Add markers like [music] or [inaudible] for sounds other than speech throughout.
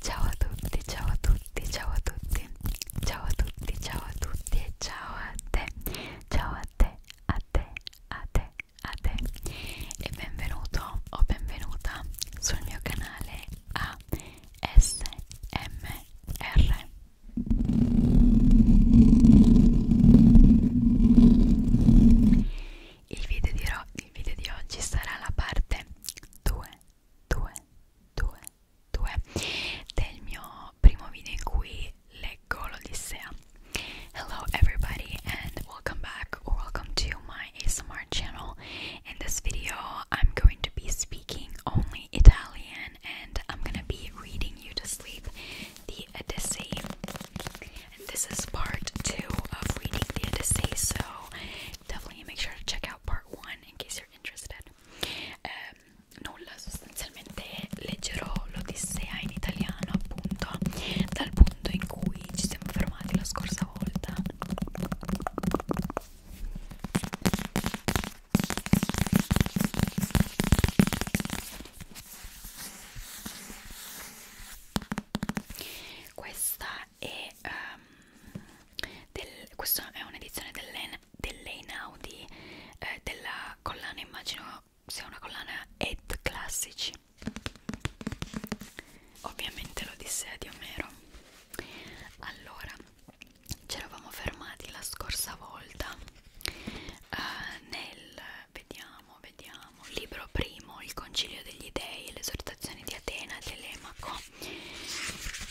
Ciao a tutti, ciao a tutti, ciao a tutti, ciao a tutti, ciao a tutti e ciao a te, ciao a te, a te, a te, a te e benvenuto o benvenuta sul mio canale ASMR il video di, il video di oggi sarà la parte 2 2 2 2 del mio primo video in cui leggo l'Odissea Hello everybody and welcome back or welcome to my ASMR channel In this video I'm going to be speaking only Italian and I'm gonna be reading you to sleep the Odyssey And this is part two of reading the Odyssey, so definitely make sure to check out part one in case you're interested. Um, nulla, sostanzialmente leggerò l'Odissea in italiano appunto dal punto in cui ci siamo fermati la scorsa volta. Questa e um, del, questa è un'edizione dell'Einaudi eh, della collana immagino sia una collana Ed Classici ovviamente l'Odissea di Omero allora ci eravamo fermati la scorsa volta eh, nel vediamo vediamo, vediamo. Libro primo, Il Concilio degli Dei, l'esortazione di Atena e Telemaco.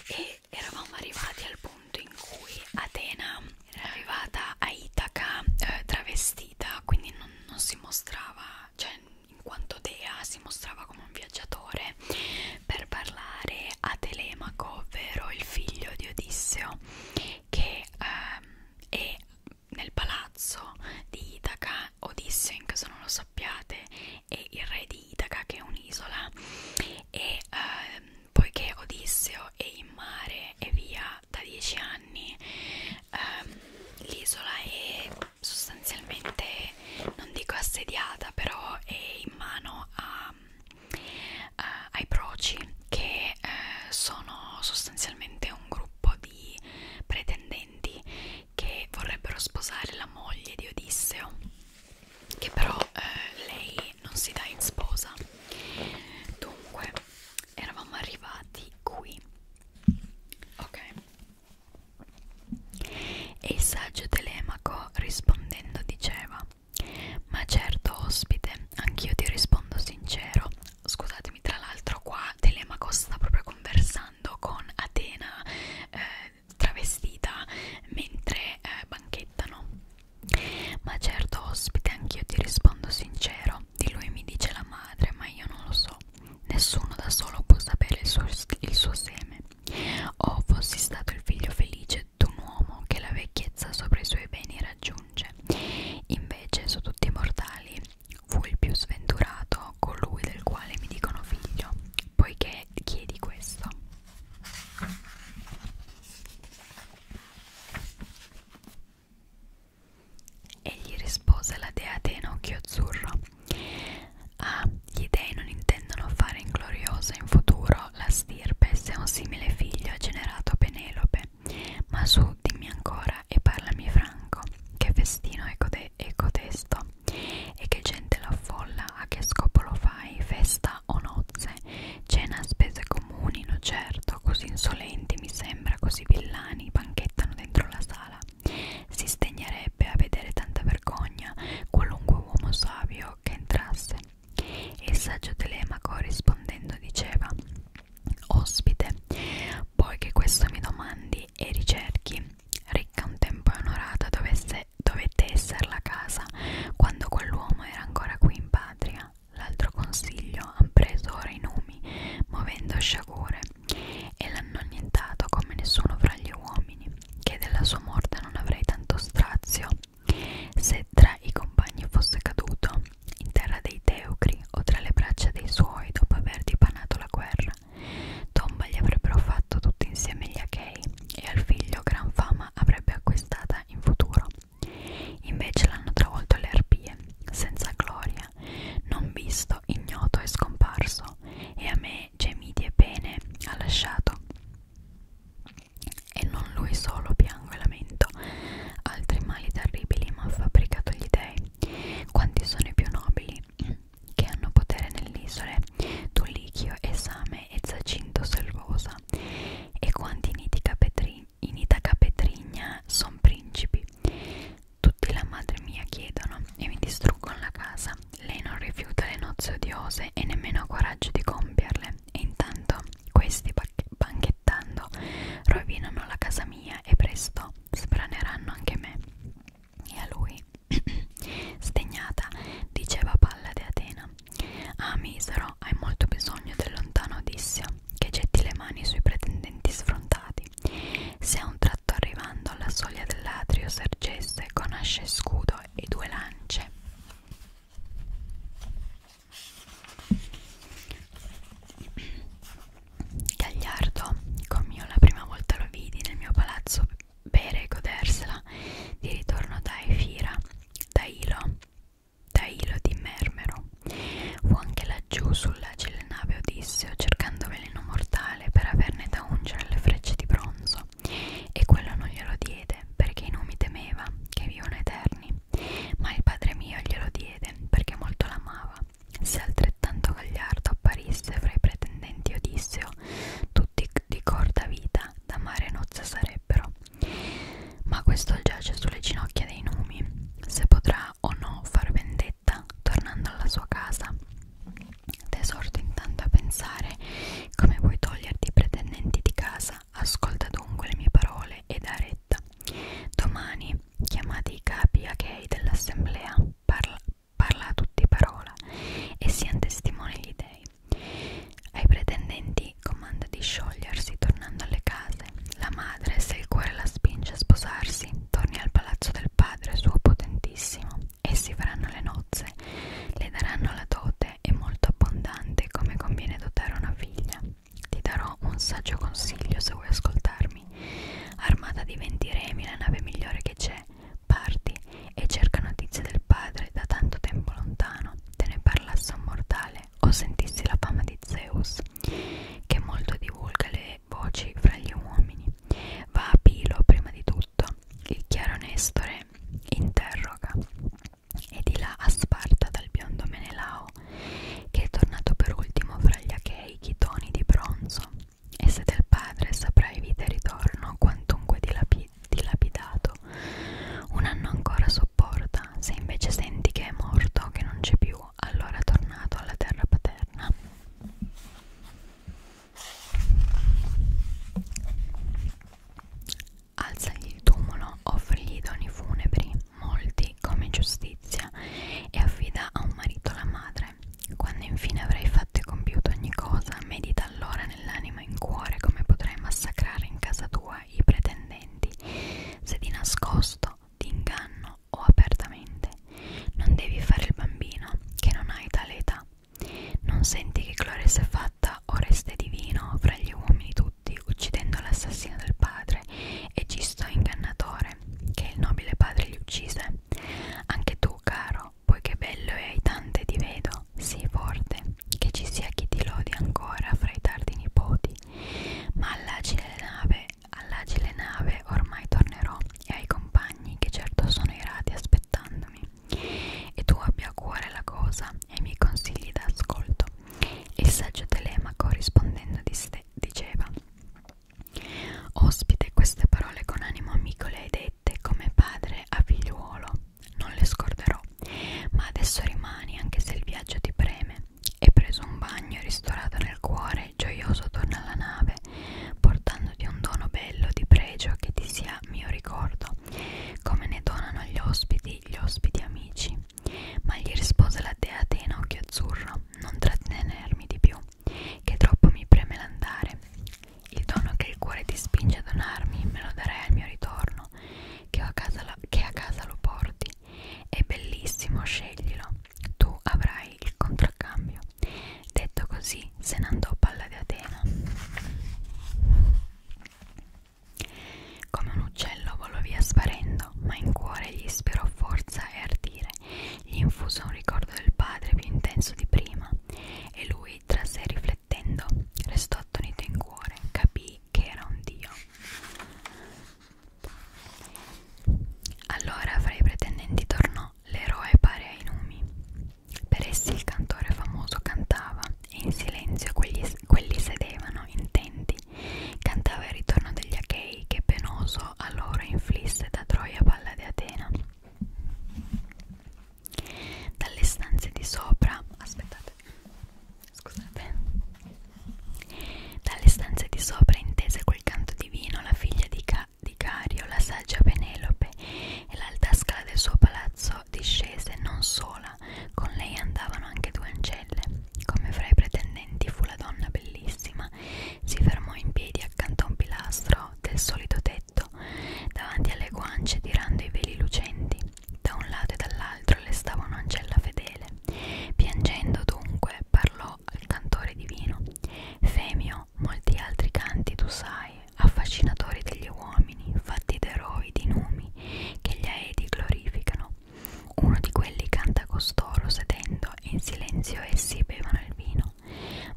E eravamo arrivati al punto in cui Atena era arrivata a Itaca eh, travestita, quindi non, non si mostrava, cioè in quanto dea si mostrava come un viaggiatore per parlare a Telemaco, ovvero il figlio di Odisseo, che ehm, è nel palazzo di Itaca o di Issen, caso non lo sappiate, è il re di Itaca che è un'isola e ehm, poiché Odisseo è in mare e via da 10 anni ehm, l'isola è sostanzialmente non dico assediata però è in mano a, a, ai proci che eh, sono sostanzialmente un gruppo di pretendenti che vorrebbero sposare la moglie di Odisseo, che però eh, lei non si dà in sposa. Dunque, eravamo arrivati qui. Ok. E il saggio Telemaco rispondendo diceva: Ma certo, ospite, anch'io ti rispondo sincero. Scusatemi, tra l'altro, qua Telemaco sta proprio conversando ballando con Atena eh, travestita mentre eh, banchettano. Ma certo ospite, anch'io ti rispondo sincero, di lui mi dice la madre, ma io non lo so, nessuno da solo può sapere il suo, il suo seme. O oh, fossi stato il figlio felice d'un uomo che la vecchiezza sopra i suoi beni raggiunge. Invece su tutti i mortali fu il più sventurato colui del quale mi dicono figlio, poiché chiedi questo. Egli rispose la dea Atena occhio azzurro. Ah, gli dei non intendono fare ingloriosa in futuro la stirpe se un simile figlio ha generato Penelope, ma su tu dimmi ancora e parlami franco Che festino è, code è cotesto E che gente l'affolla, a che scopo lo fai, festa o nozze Cena a spese comuni, no certo, così insolenti mi sembra, così villani Banchettano dentro la sala Si sdegnerebbe a vedere tanta vergogna Qualunque uomo savio che entrasse il saggio telemaco rispondendo diceva Ospite, poi che questo mi domandi libri e ricerchi. Ricca un tempo e onorata dovesse, dovette esser la casa, quando quell'uomo era ancora qui in patria. L'altro consiglio han preso ora i numi, movendo sciagure, e l'hanno annientato come nessuno fra gli uomini, che della sua morte non avrei tanto strazio, se tra i compagni fosse caduto in terra dei Teucri mori o tra le braccia dei suoi dopo aver dipanato la guerra. Tomba gli avrebbero fatto tutti insieme gli Achei e al figlio gran fama avrebbe acquistata in futuro. Invece l'hanno travolto le arpie, senza gloria, non visto, ignoto e scomparso, e a me gemiti e pene ha lasciato. E non lui solo piango e lamento, altri mali terribili m'ha fabbricato gli dei. Quanti sono i più nobili che hanno potere nell'isole? Tullichio, Esame e Zacinto Selvosa. E quanti in Itaca Petri, Petrigna sono principi? Tutti la madre mia chiedono e mi distruggono la casa. Lei non rifiuta le nozze odiose e nemmeno ha coraggio di compierle. E intanto questi banchettando rovinano la casa mia e presto no, sbraneranno anche me. E a lui, [clears throat] stegnata, diceva Palla di Atena: Ah, misero, hai molto bisogno del lontano Odissio, che getti le mani sui pretendenti sfrontati. Se a un tratto arrivando alla soglia dell'atrio sergesse con asce e scudo e due lance. [clears throat] Gagliardo, come io la prima volta lo vidi nel mio palazzo bere e godersela, di ritorno da Efira, da Ilo, da Ilo di Mermero. Fu anche laggiù sull'agile nave Odisseo cercando veleno mortale per averne da ungere le frecce di bronzo, e quello non glielo diede perché i nomi temeva che vivono eterni, ma il padre mio glielo diede perché molto l'amava se altrettanto gagliardo apparisse fra i pretendenti Odisseo, oh, tutti di corta vita da mare nozze sarebbero. Ma questo giace sulle ginocchia dei numi, se potrà o no far vendetta tornando alla sua casa. T'esorto intanto a pensare come vuoi toglierti i pretendenti di casa, ascolta dunque le mie parole e dare diretta. Domani chiamate i capi a gay dell'assemblea, parla, parla a tutti parola e siano testimoni gli dei. Ai pretendenti comanda di sciogliersi tornando alle case. La madre, se il cuore la spinge a sposarsi, torni al palazzo del padre suo potentissimo. Essi faranno le nozze, le daranno la dote e molto abbondante come conviene dotare una figlia. Ti darò un saggio consiglio se vuoi ascoltarmi. Armata di 20 remi, la nave migliore che c'è, parti e cerca notizie del padre da tanto tempo lontano. Te ne parlasse un mortale o sentissi la fama di Zeus, che molto divulga le voci fra gli uomini. Va a Pilo prima di tutto. Il chiaro Nestore interroga e di là a Sparta dal biondo Menelao che è tornato per ultimo fra gli achei chitoni di bronzo, e se del padre saprai vita e ritorno quantunque dilapi dilapidato, un anno ancora sopporta, se invece senti che è morto, che non c'è più, allora è tornato alla terra paterna. Alzagli il tumulo, offrigli i doni funebri, molti lui come giustizia e affida a un marito la madre. Quando infine avrai fatto e compiuto ogni cosa, medita allora nell'anima e in cuore come potrai massacrare in casa tua i pretendenti, se di nascosto, di inganno o apertamente. Non devi fare il bambino, che non hai tale età. Non senti che gloria si è fatta, oreste divino, fra gli uomini tutti, uccidendo l'assassino del padre, e Gisto ingannatore, padre, che il nobile padre gli uccise. Anche tu, caro, poiché bello e hai tante ti vedo, sii forte, che ci sia chi ti lodi ancora fra i tardi nipoti. Ma all'agile nave, all'agile nave ormai tornerò e ai compagni che certo sono irati aspettandomi. E tu abbia a cuore la cosa e mi consigli d'ascolto. Il saggio Telemaco rispondendo disse dove diceva Ospite queste parole con animo amico le hai dette come padre a figliuolo Non le scorderò ma adesso rimani anche se il viaggio ti preme E preso un bagno ristorato nel cuore gioioso torna alla nave Portandoti un dono bello di pregio che ti sia mio ricordo Come ne donano gli ospiti gli ospiti amici ma gli rispose la dea Atena occhio azzurro, non trattenermi di più, che troppo mi preme l'andare. Il dono che il cuore ti spinge a donarmi me lo darai al mio ritorno, che, ho a, casa la, che a casa lo porti. È bellissimo, sceglilo, tu avrai il contraccambio. Detto così, se ne andò palla di Atena. Come un uccello volò via sparendo tremendo, ma in cuore gli sperò forza e ardire. Gli infuso un ricordo del padre più intenso di prima, e lui, tra sé riflettendo, restò attonito in cuore, capì che era un dio. Allora fra i pretendenti tornò l'eroe pari ai numi. Per essi il cantore famoso cantava e in silenzio quegli, quelli sedevano intenti Cantava il ritorno degli Achei che penoso allora inflisse da Troia palla di Atena. Dalle stanze di sopra, aspettate, scusate, dalle stanze di sopra intese quel canto divino la figlia di, Ca di Cario, la saggia Penelope e l'alta scala del suo palazzo discese non sola, con lei andavano anche due ancelle, come fra i pretendenti fu la donna bellissima bellissima, si fermò in piedi accanto a un pilastro del solito tetto, davanti alle guance tirando i veli lucenti. Da un lato e dall'altro le stava un'ancella fedele. Piangendo dunque parlò al cantore divino. Femio, molti altri canti tu sai, affascinatori degli uomini, fatti d'eroi di numi, che gli aedi glorificano vicino. Uno di quelli canta costoro sedendo e in silenzio essi bevono il vino.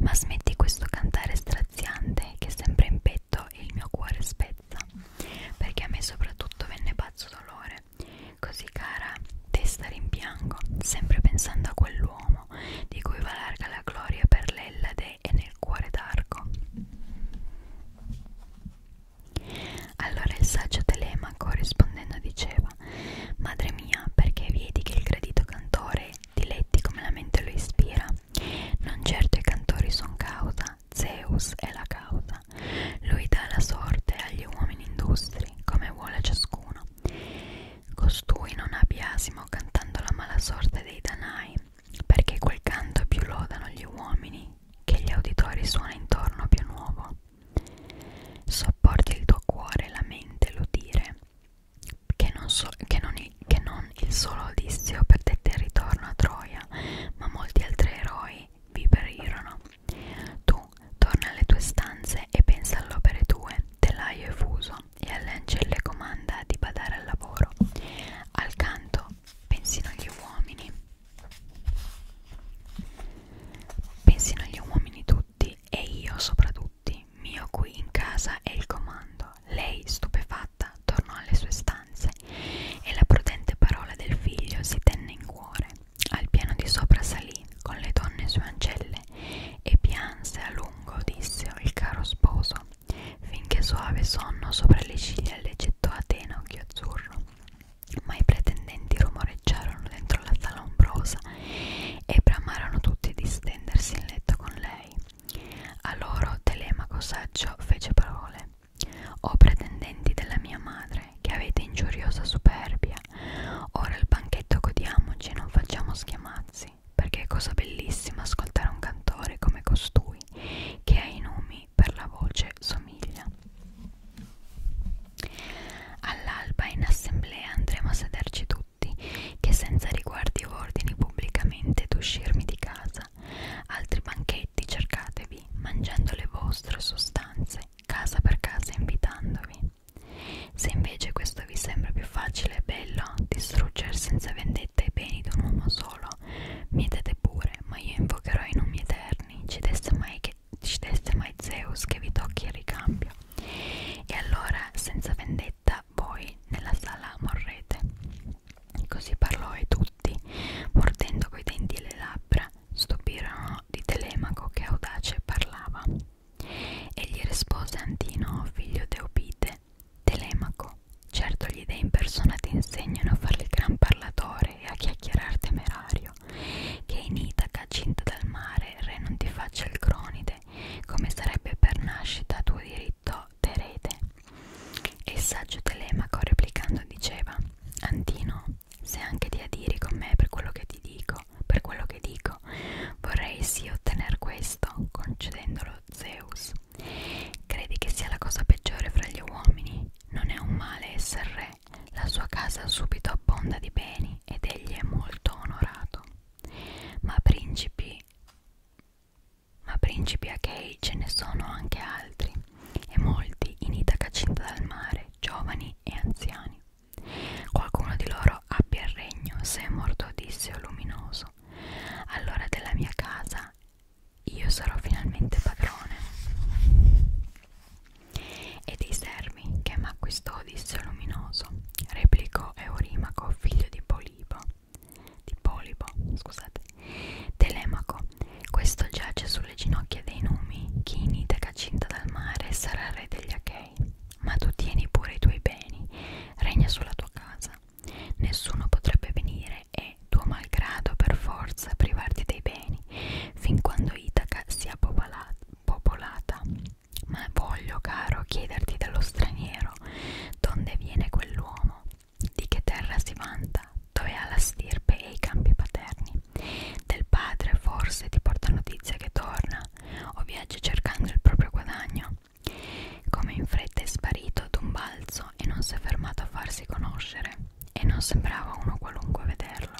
Ma smetti questo cantare straziante che sembra in petto e il mio cuore spezza, perché a me soprattutto venne pazzo dolore. Così cara, testa rimpiango, sempre pensando a quell'uomo di cui va larga la gloria per l'Ellade e nel cuore d'arco. Allora il saggio Telemaco rispondendo diceva Madre mia, perché vedi che il gradito cantore diletti come la mente lo ispira? Non certo i cantori son causa, Zeus è la causa. Lui dà la sorte agli uomini industri, come vuole ciascuno. Costui non ha biasimo cantando la mala sorte dei danai, perché quel canto più lodano gli uomini, che gli auditori suona intorno più nuovo. Sopporti il tuo cuore e la mente lo dire, che non, so, che, non il, che non il solo Odisseo perdette il ritorno a Troia, ma molti altri eroi vi perirono. Tu torna alle tue stanze e pensa all'opere tue, telaio e fuso, e alle ancelle comanda di badare al lavoro. Al canto pensino gli uomini Pensino gli uomini tutti e io soprattutto, mio qui in casa è il comando. Lei, stupefatta, tornò alle sue stanze e la prudente parola del figlio si tenne in cuore. Al piano di sopra salì con le donne sue ancelle e pianse a lungo, disse il caro sposo, finché soave sonno sopra le ciglia leggettò a tenocchio azzurro ma i pretendenti rumoreggiarono dentro la sala ombrosa e bramarono tutti di stendersi in letto con lei. A loro Telemaco saggio fece parole. O pretendenti della mia madre, che avete ingiuriosa superbia, ora il banchetto godiamoci e non facciamo schiamazzi, perché è cosa bellissima ascoltare un cantore come costui, che ha i nomi mi per la voce somiglia. All'alba in assemblea andremo a sederci tutti, che senza riguardi o ordini pubblicamente d'uscirmi di casa. Altri banchetti cercatevi, mangiando le vostre sostanze, casa per casa invitandovi. Se invece questo vi sembra più facile e bello, distruggere senza vendetta i beni di un uomo solo, mietete pure, ma io invocherò i nomi eterni, ci desse mai che mai ci desse mai Zeus che vi tocchi il ricambio e allora senza vendetta voi nella sala morrete così parlò e tutti mordendo coi denti e le labbra stupirono di Telemaco che audace parlava egli rispose Antino figlio Deopite Telemaco certo gli dei impersonati insegnano a farli gran parlatore e a chiacchierar temerario Italia, che in Itaca, cinta dal mare, re non ti faccia il cronide, come sarebbe per nascita tuo diritto d'erede. E il saggio Telemaco replicando diceva, Antino, se anche ti adiri con me per quello che ti dico, per quello che dico, vorrei sì ottener questo, concedendolo Zeus. Credi che sia la cosa peggiore fra gli uomini? Non è un male essere re, la sua casa subito abbonda di beni ed egli è molto onorato. Ma principi, ma principi achei ce ne sono anche altri, e molti in Itaca cinta dal mare, giovani e anziani. Qualcuno di loro abbia il regno, se è morto Odisseo luminoso. Allora della mia casa io sarò finalmente padrone e dei sermi che m'acquistò Odisseo Luminoso, replicò Eurimaco, figlio di Polipo, di Polipo, scusate, Telemaco, questo giace sulle ginocchia dei numi, chinite cacinta dal mare e sarà re degli Achei, ma tu tieni pure i tuoi beni, regna sulla tua casa, nessuno potrebbe venire e tuo malgrado per forza privarti dei beni, fin quando Itaca sia popolata, popolata. Ma voglio, caro, chiederti dello straniero, donde viene quell'uomo, di che terra si vanta, dove ha la stirpe e i campi paterni. Del padre forse ti porta notizia che torna, o viaggia cercando il proprio guadagno. Come in fretta è sparito d'un balzo e non si è fermato a farsi conoscere e non sembrava uno qualunque vederlo.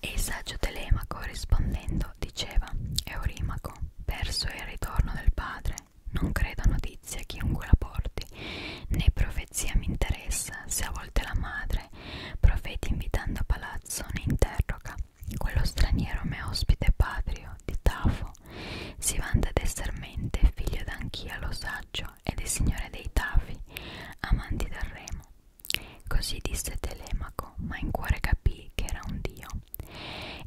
E il saggio Telemaco rispondendo diceva Eurimaco, perso il ritorno del padre, non credo a notizia chiunque la porti, né profezia mi interessa, se a volte la madre, profeti invitando a palazzo, ne interroga. Quello straniero me ospite patrio di Tafo si vanta d'esser mente, figlio d'Anchia lo saggio, Orfeo e del signore dei Tafi, amanti del remo. Così disse Telemaco, ma in cuore capì che era un dio.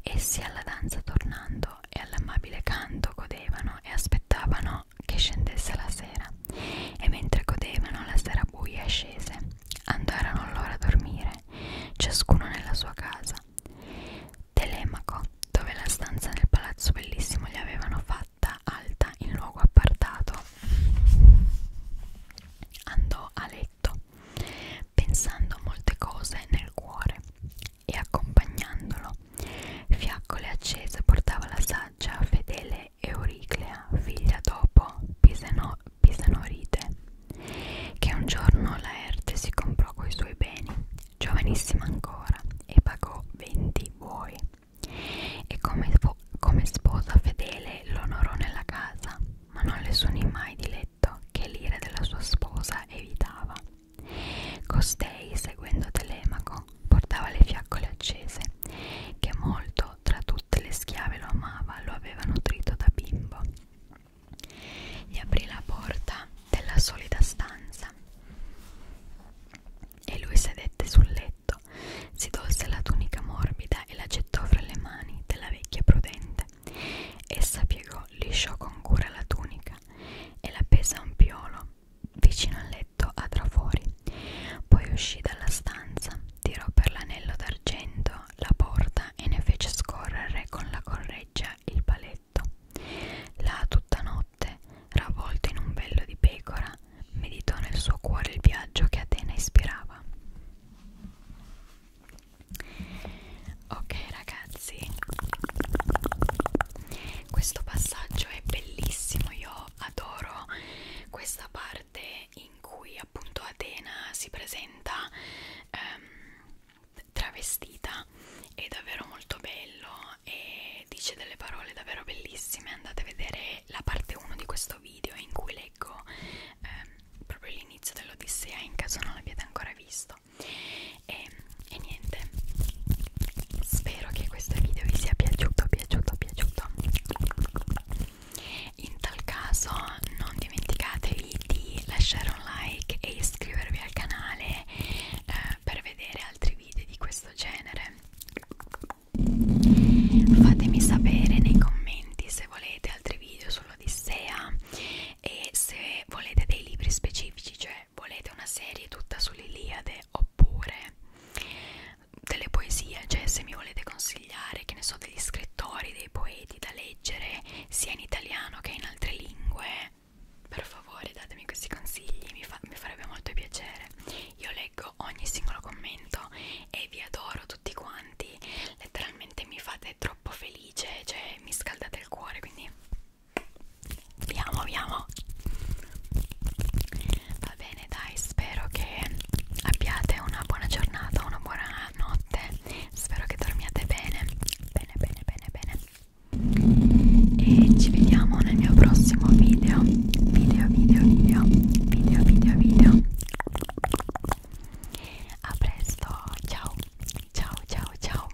Essi alla danza tornando e all'amabile canto godevano e aspettavano che scendesse la sera. E mentre godevano la sera buia scese, andarono loro a dormire, ciascuno nella sua casa. Telemaco, dove la stanza nel palazzo bellissimo gli avevano fatta alta in luogo appartato, andò a letto pensando a molte cose nel cuore e accompagnandolo. Fiaccole accese portava la saggia fedele Euriclea, figlia dopo Piseno, Pisenoride, che un giorno Laerte si comprò coi suoi beni giovanissima ancora, e pagò 20 buoi. E come, come sposa fedele l'onorò nella casa, ma non le sunì mai di letto che l'ira della sua sposa evitava. Costei, seguendo Telemaco, portava le fiaccole accese, che molto tra tutte le schiave lo amava, lo aveva nutrito da bimbo. Gli aprì la porta della solida stanza. E lui sedette sul letto, si tolse la tunica morbida e la gettò fra le mani della vecchia prudente. Essa piegò, lisciò con cura la tunica e la pese a un piolo vicino al letto a trafori. Poi uscì dalla stanza, tirò per l'anello d'argento la porta e ne fece scorrere con la correggia il paletto letto. Là tutta notte, ravvolto in un vello di pecora, meditò nel suo cuore il viaggio che Atena ispirava. Ok ragazzi, questo passaggio è bellissimo, io adoro questa parte in cui appunto Atena si presenta ehm, travestita è davvero molto bello e dice delle parole davvero bellissime andate a vedere la parte 1 di questo video in cui leggo ehm, proprio l'inizio dell'Odissea in caso non l'abbiate ancora visto e, e niente spero che questo video vi sia piaciuto piaciuto piaciuto in tal caso non dimenticatevi di lasciare un like e iscrivervi al canale eh, per vedere altri video di questo genere fatemi sapere nei commenti se volete altri video sull'Odissea e se volete dei libri specifici cioè volete una serie tutta sull'Iliade oppure delle poesie cioè se mi volete consigliare che ne so degli scrittori dei poeti da leggere sia in italiano che in altre lingue per favore datemi questi consigli, mi, fa, mi farebbe molto piacere. Io leggo ogni singolo commento e vi adoro tutti quanti, letteralmente mi fate troppo felice, cioè mi scaldate il cuore, quindi vi amo, vi amo. Va bene dai, spero che abbiate una buona giornata, una buona notte, spero che dormiate bene, bene, bene, bene, bene e ci vediamo nel mio prossimo video video video video video video video a presto ciao ciao ciao ciao